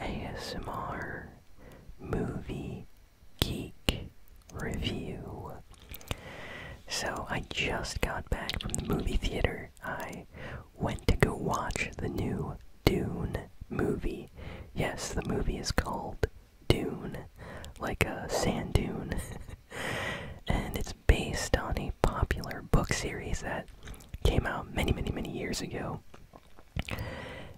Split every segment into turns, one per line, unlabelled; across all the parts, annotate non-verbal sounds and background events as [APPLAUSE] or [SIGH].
ASMR Movie Geek Review. So, I just got back from the movie theater. I went to go watch the new Dune movie. Yes, the movie is called Dune, like a sand dune. [LAUGHS] and it's based on a popular book series that came out many, many, many years ago.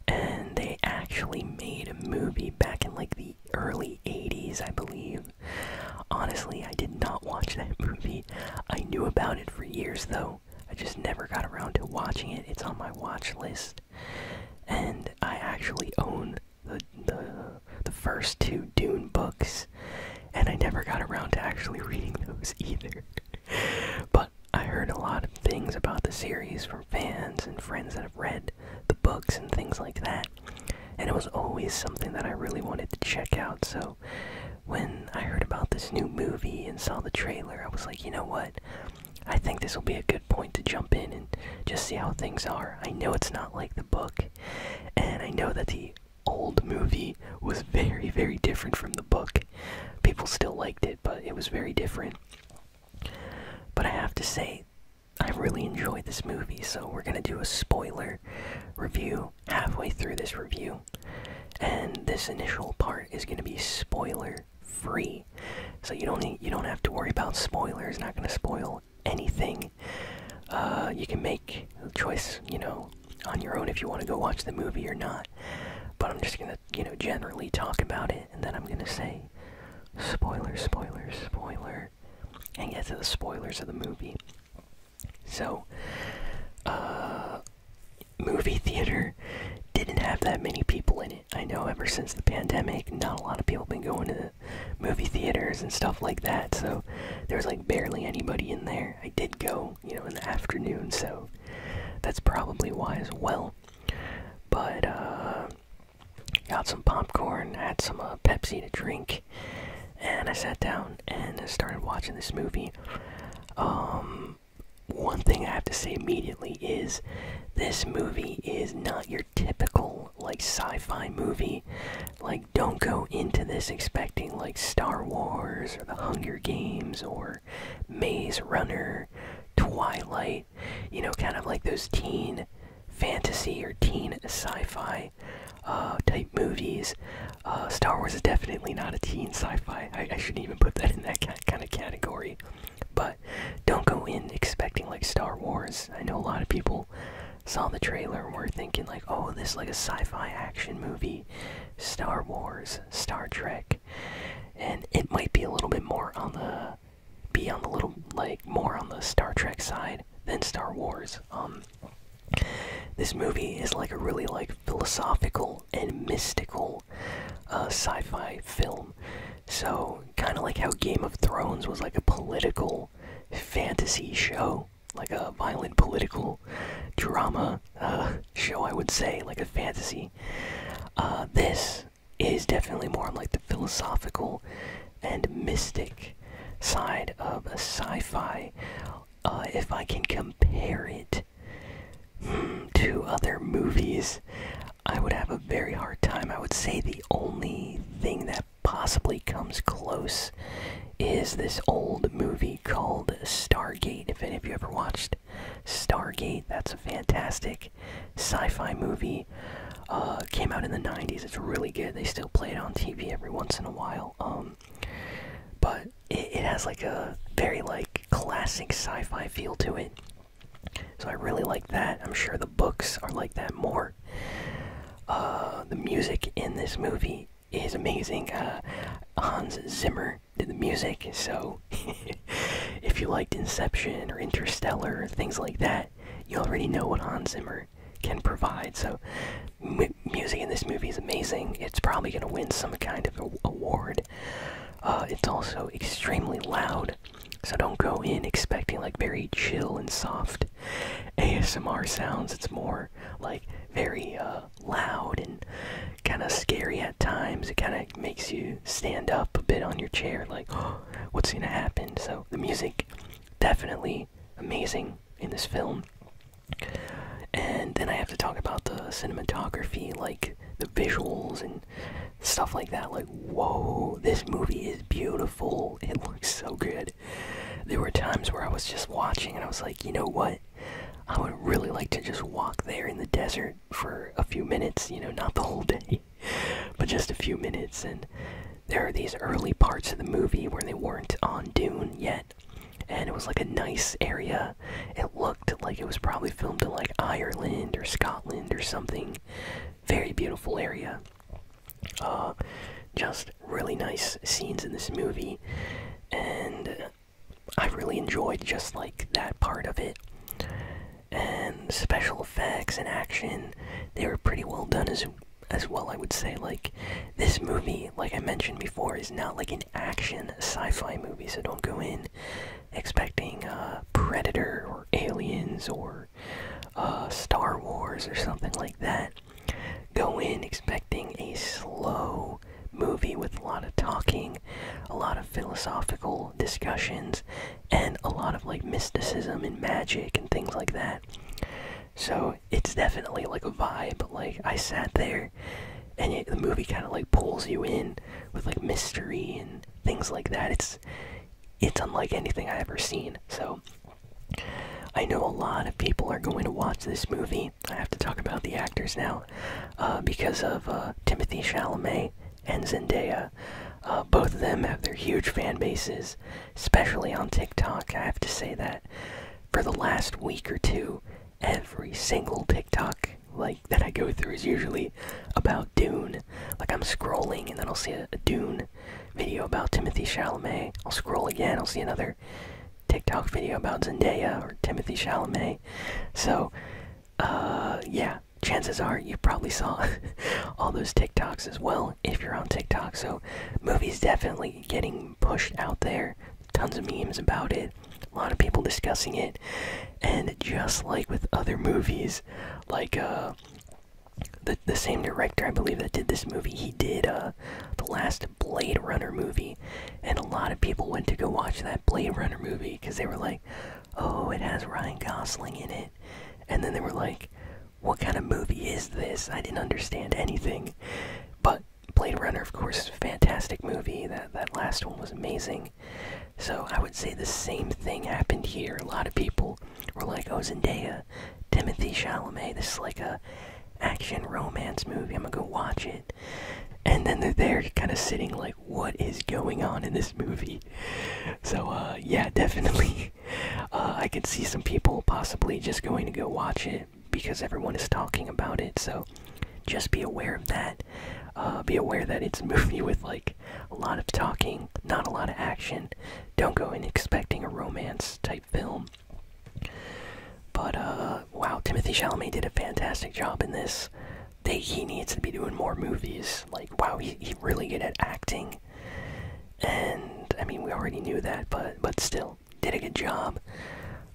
And they actually made a movie back in like the early 80s, I believe. Honestly, I did not watch that [LAUGHS] movie. I knew about it for years though. I just never got around to watching it. It's on my watch list. And I actually own the the the first two Dune books and I never got around to actually [LAUGHS] reading those either. [LAUGHS] but I heard a lot of things about the series from fans and friends that have read the books and things like that. And it was always something that I really wanted to check out. So when I heard about this new movie and saw the trailer, I was like, you know what? I think this will be a good point to jump in and just see how things are. I know it's not like the book, and I know that the old movie was [LAUGHS] very, very different from the book, people still liked it, but it was very different. But I have to say, I really enjoyed this movie, so we're gonna do a spoiler review halfway through this review. And this initial part is gonna be spoiler free. So you don't you don't have to worry about spoilers, not gonna spoil anything. Uh, you can make a choice, you know, on your own if you want to go watch the movie or not. But I'm just gonna, you know, generally talk about it, and then I'm gonna say, spoiler, spoiler, spoiler, and get to the spoilers of the movie. So, uh, movie theater didn't have that many people in it. I know ever since the pandemic, not a lot of people have been going to the movie theaters and stuff like that, so there was like barely anybody in there. I did go, you know, in the afternoon, so that's probably why as well. But uh, got some popcorn, had some uh, Pepsi to drink, and I sat down and started watching this movie. Um, one thing I have to say immediately is this movie is not your typical like sci-fi movie. Like, don't go into this expecting like Star Wars or The Hunger Games or Runner, Maze Runner, Twilight, you know, kind of like those teen fantasy or teen sci fi uh, type movies. Uh, Star Wars is definitely not a teen sci fi. I, I shouldn't even put that in that kind of category. But don't go in expecting like Star Wars. I know a lot of people saw the trailer and were thinking like, oh, this is like a sci-fi action movie, Star Wars, Star Trek, and it might be a little bit more on the be on the little like more on the Star Trek side than Star Wars. Um, this movie is like a really like philosophical and mystical uh, sci-fi film. So kind of like how Game of Thrones was like a political fantasy show, like a violent political drama uh, show I would say like a fantasy uh, this is definitely more like the philosophical and mystic side of a sci-fi uh, if I can compare it hmm, to other movies I would have a very hard time I would say the only thing that possibly comes close is this old movie called Stargate if any of you ever watched Stargate, that's a fantastic sci fi movie. Uh, came out in the 90s, it's really good. They still play it on TV every once in a while. Um, but it, has like a very like classic sci fi feel to it. So I really like that. I'm sure the books are like that more. Uh, the music in this movie is amazing. Uh, Hans Zimmer Carpenter the music. So, [LAUGHS] if you liked Inception or Interstellar, things like that, you already know what Hans Zimmer can provide. So, music in this movie is amazing. It's probably going to win some kind of award. Uh, it's also extremely loud, so don't go in expecting like very chill and soft ASMR sounds. It's more like very uh, loud and kind of scary at times. It kind of makes you stand up a bit on your chair, like, [GASPS] what's gonna happen? So the music, definitely amazing in this film. And then I have to talk about the cinematography, like the visuals and stuff like that. Like, whoa, this movie is beautiful. It looks so good. There were times where I was just watching and I was like, you know what? I would really like to just walk there in the desert for a few minutes, you know, not the whole day, [LAUGHS] but just a few minutes. And there are these early parts of the movie where they weren't on Dune yet. And it was like a nice area. It looked like it was probably filmed in like Ireland or Scotland or something. Very beautiful area. Uh, just really nice scenes in this movie. And I really enjoyed just like that part of it. And special effects and action, they were pretty well done as well, I would say. Like this movie, like I mentioned before, is not like an action sci-fi movie, so don't go in expecting a uh, Predator or Aliens or uh, Star Wars or something like that. Go in expecting a slow movie with a lot of talking, a lot of philosophical discussions, and a lot of like mysticism and magic and things like that. So it's definitely like a vibe. Like I sat there, and the movie kind of like pulls you in with like mystery and things like that. It's it's unlike anything I ever seen. So I know a lot of people are going to watch this movie I have to talk about the actors now, uh, because of uh, Timothy Chalamet and Zendaya. Uh, both of them have their huge fan bases, especially on TikTok. I have to say that for the last week or two, every single TikTok like that I go through is usually about Dune. Like I'm scrolling and then I'll see a, Dune video about Timothy Chalamet. I'll scroll again, I'll see another TikTok video about Zendaya or Timothy Chalamet, so, uh, yeah, chances are you probably saw [LAUGHS] all those TikToks as well if you're on TikTok. So, movies definitely getting pushed out there. Tons of memes about it. A lot of people discussing it, and just like with other movies, like uh, the the same director I believe that did this movie, he did uh, the last Blade Runner movie and a lot of people went to go watch that Blade Runner movie because they were like, "Oh, it has Ryan Gosling in it," and then they were like, "What kind of movie is this?" I didn't understand anything. But Blade Runner, of course, is a fantastic movie. That that last one was amazing. So I would say the same thing happened here. A lot of people were like, "Oh, Timothy Chalamet. This is like a." action romance movie. I'm gonna go watch it. And then they're there kind of sitting like, what is going on in this movie? So, uh, yeah, [LAUGHS] definitely. Uh, I could see some people possibly just going to go watch it because everyone is talking about it. So, just be aware of that. Uh, be aware that it's a movie [LAUGHS] with like a lot of talking, not a lot of action. Don't go in expecting a romance type film. But wow, Timothy Chalamet did a fantastic job in this he needs to be doing more movies. Like, wow, he, he really good at acting. And I mean, we already knew that, but but still, did a good job.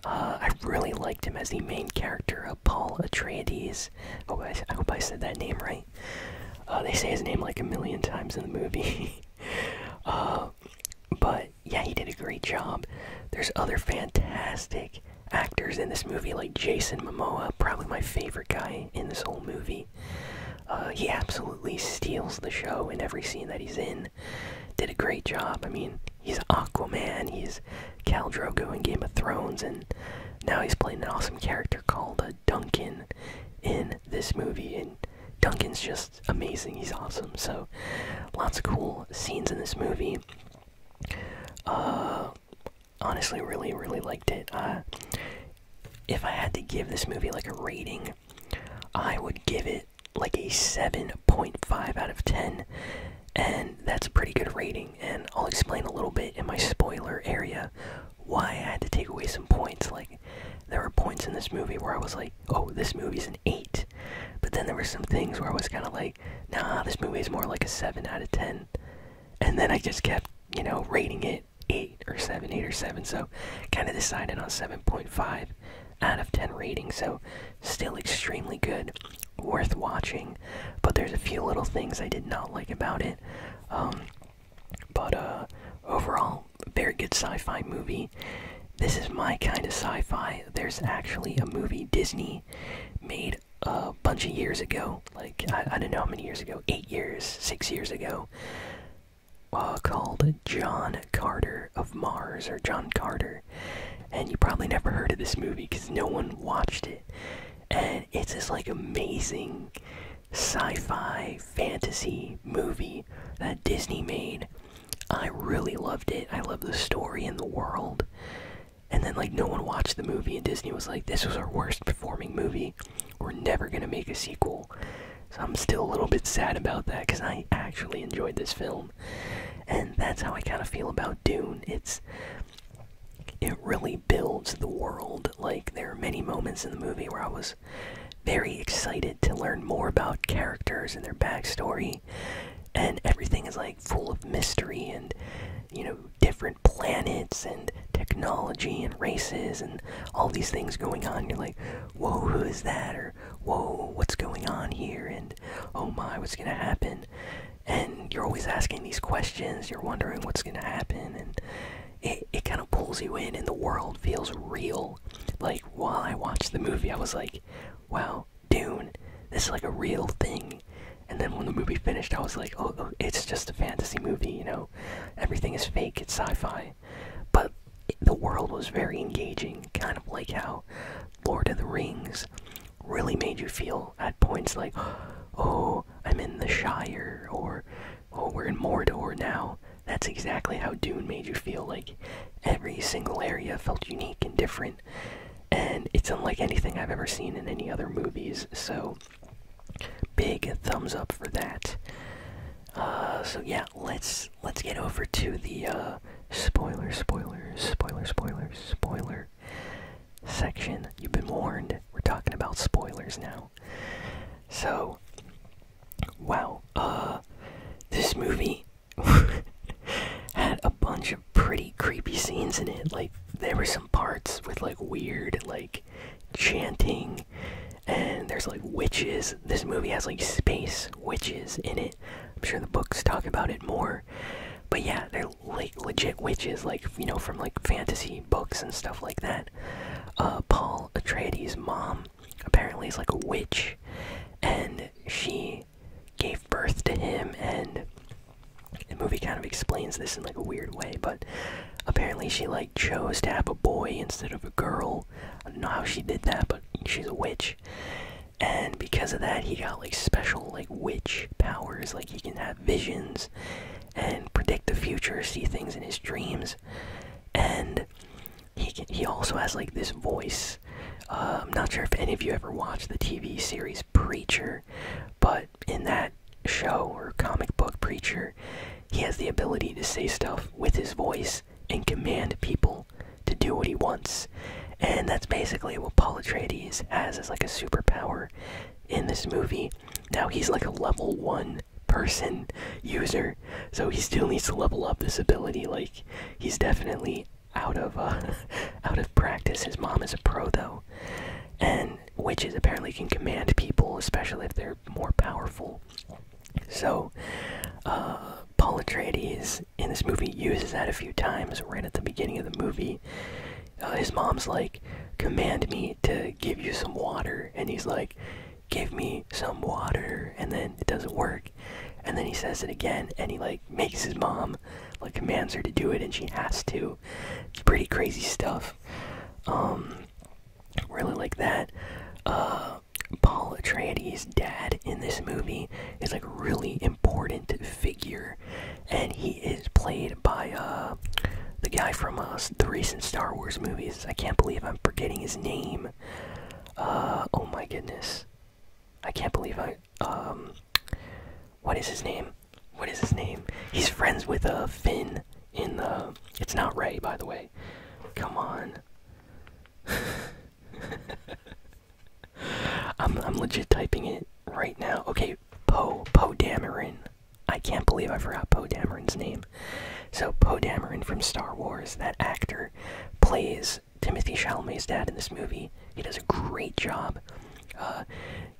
Uh, I really liked him as the main character Paul Atreides. Oh, I, hope I said that name right. Uh, they say his name like a million times in the movie. [LAUGHS] Uh, but yeah, he did a great job. There's other fantastic actors in this movie, like Jason Momoa, probably my favorite guy in this whole movie. Uh, he absolutely steals the show in every scene that he's in. Did a great job. I mean, he's Aquaman, he's Cal Drogo in Game of Thrones, and now he's playing an awesome character called uh, Duncan in this movie. And Duncan's just amazing. He's awesome. So, lots of cool scenes in this movie. Uh, honestly, really, really liked it. Uh, if I had to give this movie like a rating, I would give it like a 7.5 out of 10, and that's a pretty good rating. And I'll explain a little bit in my spoiler area why I had to take away some points. Like, there were points in this movie where I was like, oh, this movie's an 8, but then there were some things where I was kind of like, like, nah, this movie is more like a 7 out of 10. And then I just kept, you know, rating it 8 or 7, 8 or 7. So kind of decided on 7.5 out of 10 rating. So still extremely good, worth watching. But there's a few little things I did not like about it. Um, but uh, overall, very good sci fi movie. This is my kind of sci fi. There's actually a movie Disney made a bunch of years ago. Like I, don't know how many years ago, eight years, six years ago. Uh, called John Carter of Mars or John Carter, and you probably never heard of this movie because no one watched it. And it's this like amazing sci-fi fantasy movie that Disney made. I really loved it. I love the story and the world and then like no one watched the movie and disney was like this was our worst performing movie we're never gonna make a sequel so i'm still a little bit sad about that because i actually enjoyed this film and that's how i kind of feel about dune it's it really builds the world like there are many moments in the movie where i was very excited to learn more about characters and their backstory and everything is like full of mystery and you know different planets and technology and races and all these things going on you're like whoa who is that or whoa what's going on here and oh my what's gonna happen and you're always asking these questions you're wondering what's gonna happen and it, it kind of pulls you in and the world feels real like while i watched the movie i was like wow Dune, this is like a real thing. And then when the movie finished, I was like, oh, oh it's just a fantasy movie, you know? Everything is fake, it's sci fi. But the world was very engaging, kind of like how Lord of the Rings really made you feel at points like, [GASPS] oh, I'm in the Shire, or oh, we're in Mordor now. That's exactly how Dune made you feel like every single area felt unique and different and it's unlike anything I've ever seen in any other movies. So, big thumbs up for that. Uh, so yeah, let's let's get over to the uh, spoiler, spoiler, spoiler, spoiler, spoiler section. You've been warned. We're talking about spoilers now. So, wow. Uh, this movie [LAUGHS] had a bunch of pretty creepy scenes in it. Like there were some parts with like weird like chanting and there's like witches. This movie has like space witches in it. I'm sure the books talk about it more. But yeah, they're like legit witches, like you know, from like fantasy books and stuff like that. Uh, Paul Atreides' mom apparently is like a witch, and she gave birth to him and the movie kind of explains this in like a weird way but apparently she like chose to have a boy instead of a girl i don't know how she did that but she's a witch and because of that he got like special like witch powers like he can have visions and predict the future see things in his dreams and he he also has like this voice uh, i'm not sure if any of you ever watched the tv series preacher but in that show or comic book preacher, he has the ability to say stuff with his voice and command people to do what he wants. And that's basically what Paul Atreides has as like a superpower in this movie. Now he's like a level one person user, so he still needs to level up this ability. Like he's definitely out of uh, [LAUGHS] out of practice. His mom is a pro though, and witches apparently can command people, especially if they're more powerful. So, uh, Paul Atreides in this movie uses that a few times right at the beginning of the movie. Uh, his mom's like, "Command me to give you some water," and he's like, "Give me some water," and then it doesn't work. And then he says it again, and he like makes his mom, like commands her to do it, and she has to. pretty crazy stuff. Um, really like that. Uh, Paul Atreides' dad in this movie is like really important figure, and he is played by uh the guy from uh, the recent Star Wars movies. I can't believe I'm forgetting his name. Uh, oh my goodness. I can't believe I. Um, what is his name? What is his name? He's friends with a uh, Finn in the. It's not Ray, by the way. Come on. [LAUGHS] I'm I'm legit typing it right now. Okay, Poe Poe Dameron. I can't believe I forgot Poe Dameron's name. So Poe Dameron from Star Wars, that actor, plays Timothy Chalamet's dad in this movie. He does a great job. Uh,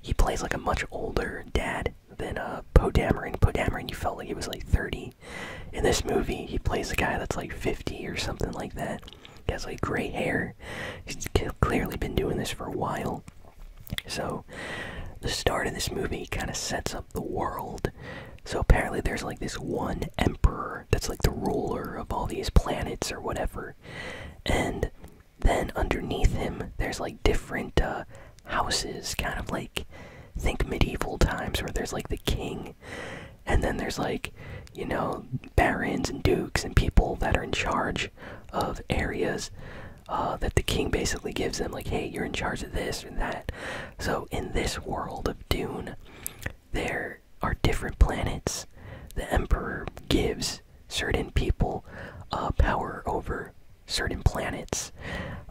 he plays like a much older dad than uh, Poe Dameron. Poe Dameron, you felt like he was like 30. In this movie, he plays a guy that's like 50 or something like that. He has like gray hair. He's clearly been doing this for a while. So, the start of this movie kind of sets up the world. So, apparently, there's like this one emperor that's like the ruler of all these planets or whatever. And then underneath him, there's like different uh, houses, kind of like think medieval times where there's like the king, and then there's like you know barons and dukes and people that are in charge of areas uh, that the king basically gives them, like hey, you're in charge of this and that. So in this world of Dune, there are different planets the emperor gives certain people uh, power over certain planets.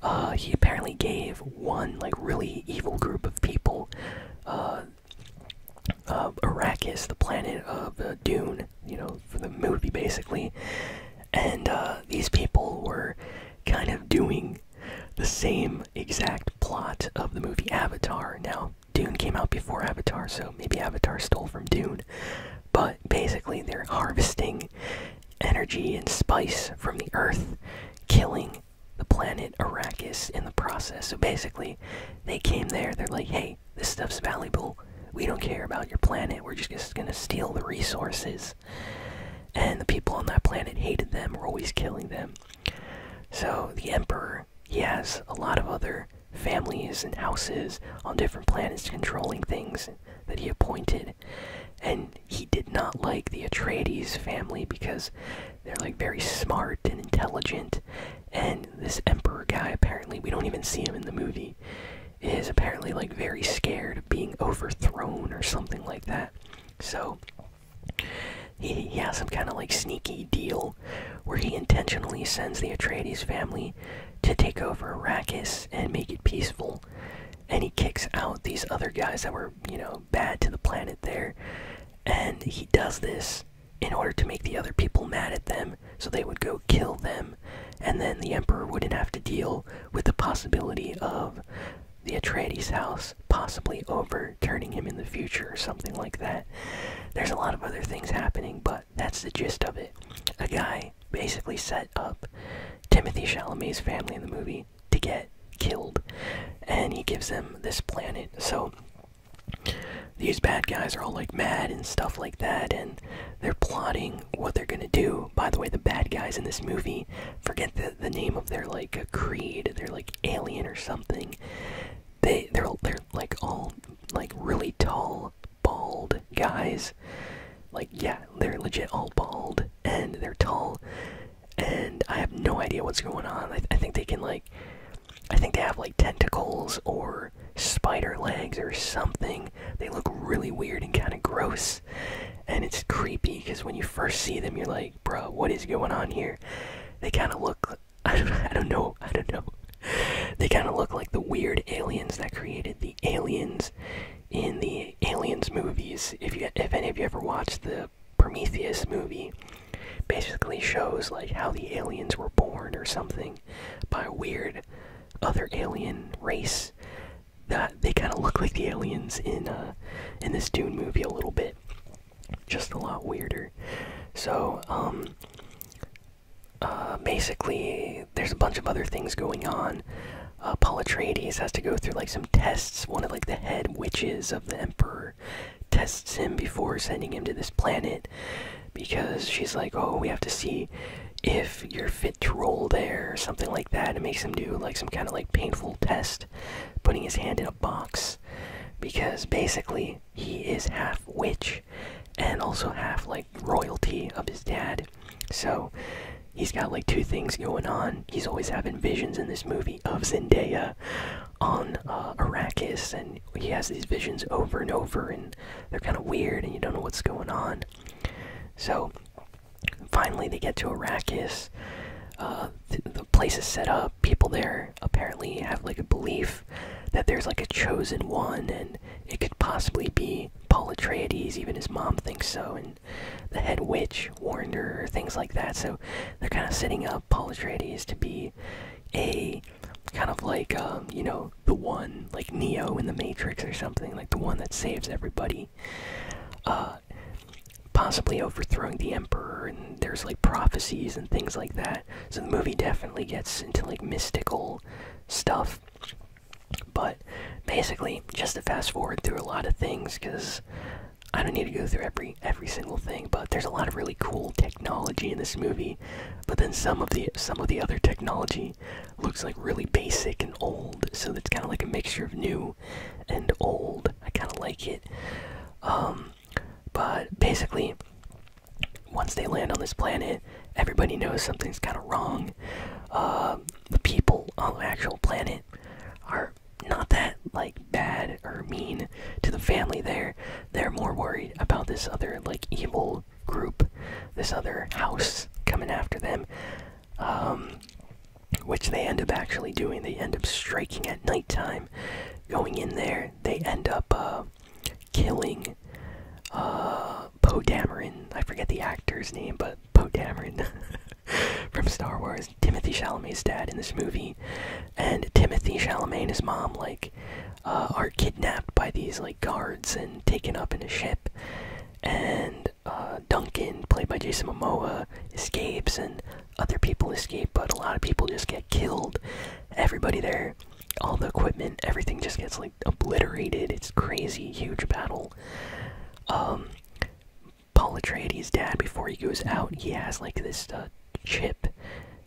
Uh, he apparently gave one like really evil group of people, uh, uh Arrakis, the planet of Dune, you know, for the movie basically, and these people were kind of doing the same exact plot of the movie Avatar. Now, Dune came out before Avatar, so maybe Avatar stole from Dune. But basically, they're harvesting energy and spice from the earth, killing the planet Arrakis in the process. So basically, they came there, they're like, hey, this stuff's valuable. We don't care about your planet, we're just gonna steal the resources. And the people on that planet hated them, were always killing them. So the Emperor, he has a lot of other families and houses on different planets controlling things that he appointed. And he did not like the Atreides family because they're like very smart and intelligent. And this Emperor guy, apparently, we don't even see him in the movie, is apparently like very scared of being overthrown or something like that. So he, has some kind of like sneaky deal where he intentionally sends the Atreides family to take over Arrakis and make it peaceful. And he kicks out these other guys that were, you know, bad to the planet there. And he does this in order to make the other people mad at them so they would go kill them. And then the Emperor wouldn't have to deal with the possibility of the Atreides house possibly overturning him in the future or something like that. There's a lot of other things happening, but. That's the gist of it. A guy basically set up Timothy Chalamet's family in the movie to get killed, and he gives them this planet. So these bad guys are all like mad and stuff like that, and they're plotting what they're gonna do. By the way, the bad guys in this movie forget the, the name of their like creed, they're like alien or something they they're they're like all like really tall bald guys like yeah they're legit all bald and they're tall and i have no idea what's going on i, I think they can like i think they have like tentacles or spider legs or something they look really weird and kind of gross and it's creepy because when you first see them you're like bro what is going on here they kind of look [LAUGHS] I don't, I don't know. I don't know. They kind of look like the weird aliens that created the aliens in the aliens movies. If you, if any of you ever watched the Prometheus movie, basically shows like how the aliens were born or something by a weird other alien race. That they kind of look like the aliens in uh, in this Dune movie a little bit, just a lot weirder. So um, uh, basically, there's a bunch of other things going on. Uh, has to go through like some tests. One of like the head witches of the Emperor tests him before sending him to this planet because she's like, oh, we have to see if you're fit to roll there, something like that. It makes him do like some kind of like painful test, putting his hand in a box because basically he is half witch and also half like royalty of his dad so he's got like two things going on he's always having visions in this movie of zendaya on uh, arrakis and he has these visions over and over and they're kind of weird and you don't know what's going on so finally they get to arrakis uh, the place is set up people there apparently have like a belief that there's like a chosen one and it could possibly be Paul Atreides, even his mom thinks so, and the head witch warned her, things like that. So they're kind of setting up Paul Atreides to be a kind of like, um, you know, the one, like Neo in the Matrix or something, like the one that saves everybody. Uh, possibly overthrowing the Emperor, and there's like prophecies and things like that. So the movie definitely gets into like mystical stuff. But basically, just to fast forward through a lot of things, because I don't need to go through every every single thing. But there's a lot of really cool technology in this movie. But then some of the some of the other technology looks like really basic and old. So it's kind of like a mixture of new and old. I kind of like it. Um, but basically, once they land on this planet, everybody knows something's kind of wrong. Uh, the people on the actual planet are not that like bad or mean to the family there. They're more worried about this other like evil group, this other house coming after them. Um, which they end up actually doing. They end up striking at nighttime. Going in there, they end up uh, killing uh, Poe Dameron. I forget the actor's name, but Poe Dameron [LAUGHS] from Star Wars. Timothy Chalamet's dad in this movie, and Timothy Chalamet mom like uh, are kidnapped by these like guards and taken up in a ship. And uh, Duncan, played by Jason Momoa, escapes, and other people escape, but a lot of people just get killed. Everybody there all the equipment, everything just gets like obliterated. It's crazy, huge battle. Um, Paul Atreides' dad, before he goes out, he has like this uh, chip,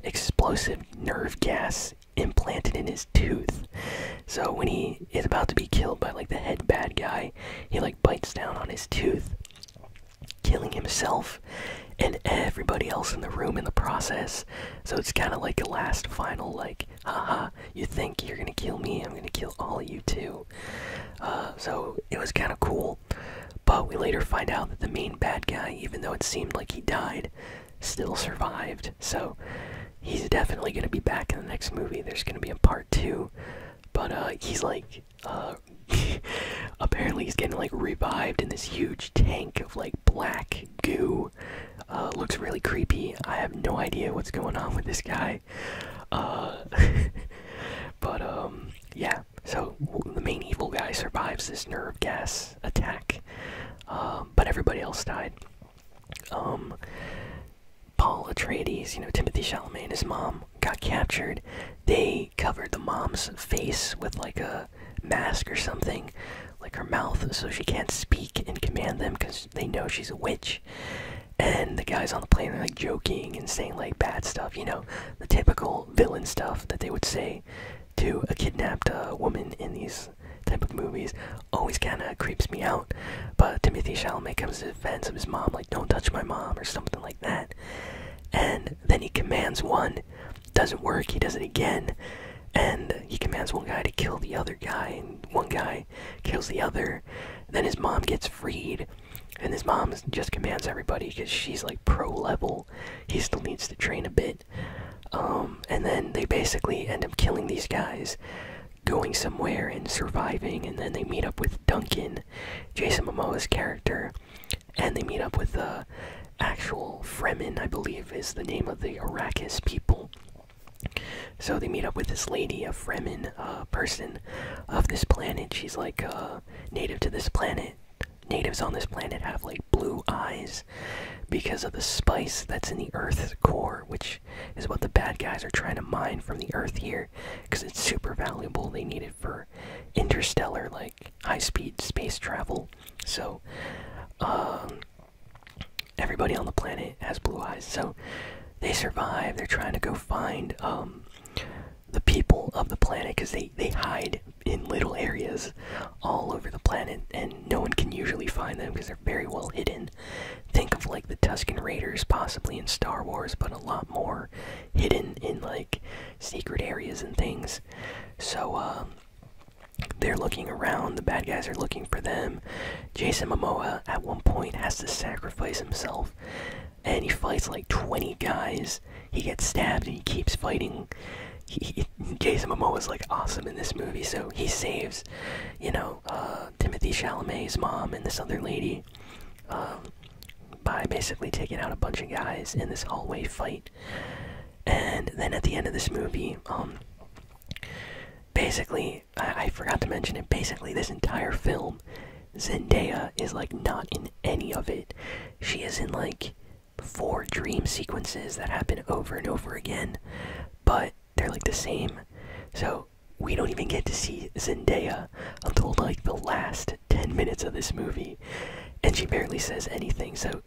explosive nerve gas implanted in his tooth. So when he is about to be killed by like the head bad guy, he like bites down on his tooth, killing himself and everybody else in the room in the process. So it's kind of like a last final, like, haha, you think you're gonna kill me, I'm gonna kill all of you too. Uh, so it was kind of cool. But we later find out that the main bad guy, even though it seemed like he died, still survived. So he's definitely gonna be back in the next movie. There's gonna be a part two. But uh, he's like, uh, [LAUGHS] apparently he's getting like revived in this huge tank of like black goo uh, looks really creepy. I have no idea what's going on with this guy. Uh, [LAUGHS] but um, yeah. So the main evil guy survives this nerve gas attack, um, but everybody else died. Um, Paul Atreides, you know Timothy Chalamet his mom got captured. They covered the mom's face with like a mask or something, like her mouth, so she can't speak and command them because they know she's a witch. And the guys on the plane are like joking and saying like bad stuff, you know, the typical villain stuff that they would say to a kidnapped uh, woman in these type of movies. Always kind of creeps me out. But Timothy Chalamet comes to the defense of his mom, like, don't touch my mom, or something like that. And then he commands one doesn't work. He does it again, and he commands one guy to kill the other guy, and one guy kills the other. Then his mom gets freed, and his mom just commands everybody because she's like pro level. He still needs to train a bit. Um, and then they basically end up killing these guys, going somewhere and surviving, and then they meet up with Duncan, Jason Momoa's character, and they meet up with uh, actual Fremen, I believe, is the name of the Arrakis people. So they meet up with this lady, a Fremen uh, person of this planet. She's like uh, native to this planet. Natives on this planet have like blue eyes because of the spice that's in the Earth's core, which is what the bad guys are trying to mine from the Earth here because it's super valuable. They need it for interstellar, like high speed space travel. So, um, everybody on the planet has blue eyes so they survive they're trying to go find um, the people of the planet because they they hide in little areas all over the planet and no one can usually find them because they're very well hidden think of like the tuscan raiders possibly in star wars but a lot more hidden in like secret areas and things so um, they're looking around, the bad guys are looking for them. Jason Momoa at one point has to sacrifice himself and he fights like 20 guys. He gets stabbed and he keeps fighting. Jason Momoa is like awesome in this movie, so he saves, you know, uh, Timothy Chalamet's mom and this other lady um, by basically taking out a bunch of guys in this hallway fight. And then at the end of this movie, um, basically, I, forgot to mention it. Basically, this entire film, Zendaya is like not in any of it. She is in like four dream sequences that happen over and over again, but they're like the same. So we don't even get to see Zendaya until like the last 10 minutes of this movie, and she barely says anything. So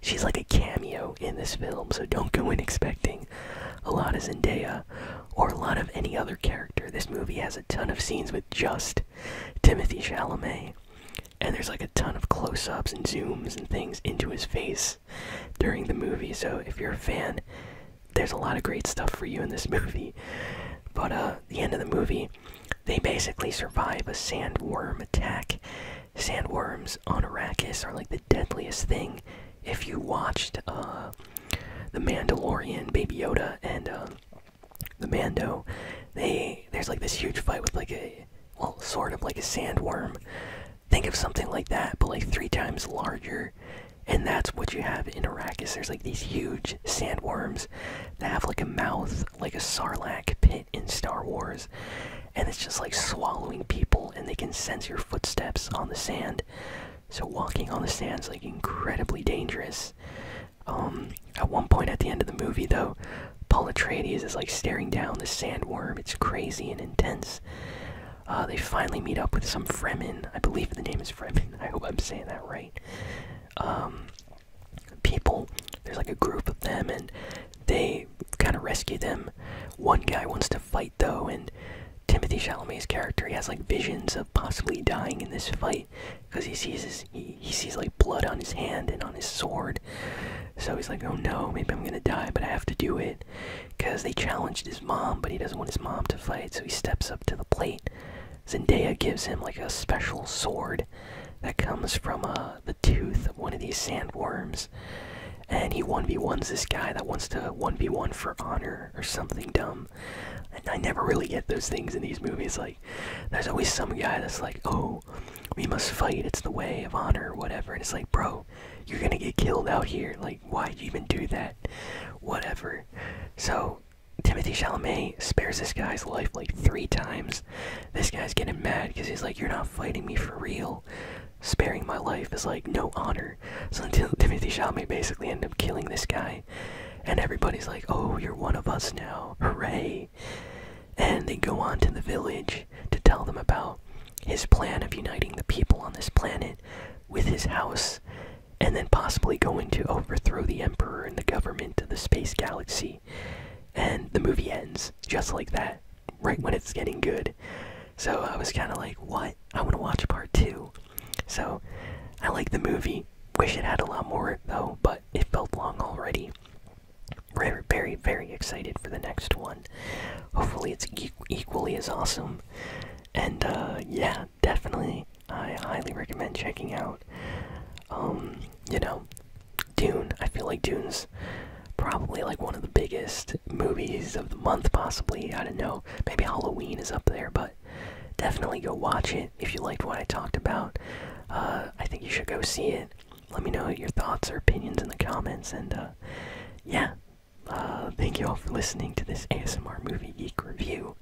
She's like a cameo in this film, so don't go in expecting a lot of Zendaya or a lot of any other character. This movie has a ton of scenes with just Timothy Chalamet, and there's like a ton of close ups and zooms and things into his face during the movie. So if you're a fan, there's a lot of great stuff for you in this [LAUGHS] movie. But uh, the end of the movie, they basically survive a sandworm attack Sandworms on Arrakis are like the deadliest thing. If you watched uh, The Mandalorian, Baby Yoda, and uh, the Mando, they there's like this huge fight with like a well, sort of like a sandworm. Think of something like that, but like three times larger. And that's what you have in Arrakis. There's like these huge sandworms that have like a mouth, like a sarlacc pit in Star Wars and it's just like swallowing people and they can sense your footsteps on the sand so walking on the sand is like incredibly dangerous um, at one point at the end of the movie though paul atreides is like staring down the sandworm it's crazy and intense uh, they finally meet up with some fremen i believe the name is fremen [LAUGHS] i hope i'm saying that right um, people there's like a group of them and they kind of rescue them. One guy wants to fight though, and Timothy Chalamet's character he has like visions of possibly dying in this fight because he sees his, he sees like blood on his hand and on his sword. So he's like, oh no, maybe I'm gonna die, but I have to do it because they challenged his mom, but he doesn't want his mom to fight, so he steps up to the plate. Zendaya gives him like a special sword that comes from a. Uh, the tooth of one of these sandworms, and he 1v1s this guy that wants to 1v1 for honor or something dumb. And I never really get those things in these movies. Like, there's always some guy that's like, oh, we must fight, it's the way of honor, or whatever. And it's like, bro, you're gonna get killed out here. Like, why even do that? Whatever. So, Timothy Chalamet spares this guy's life like three times this guy's getting mad because he's like, You're not fighting me for real. Sparing my life is like no honor. So until [LAUGHS] Timothy Chalamet basically end up killing this guy, and everybody's like, Oh, you're one of us now. Hooray. And they go on to the village to tell them about his plan of uniting the people on this planet with his house and then possibly going to overthrow the emperor and the government of the space galaxy and the movie ends just like that, right when it's getting good. So I was kind of like, what? I want to watch part two. So I like the movie. Wish it had a lot more, though, but it felt long already. We're very, very excited for the next one. Hopefully, it's equally as awesome. And uh, yeah, definitely, I highly recommend checking out. Um, you know, Dune. I feel like Dune's probably like one of the biggest movies of the month, possibly. I don't know. Maybe Halloween is up there, but definitely go watch it if you liked what I talked about. Uh, I think you should go see it. Let me know your thoughts or opinions in the comments, and uh, yeah. Uh, thank you all for listening to this ASMR Movie Geek review,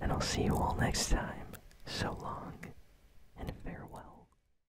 and I'll see you all next time. So long, and farewell.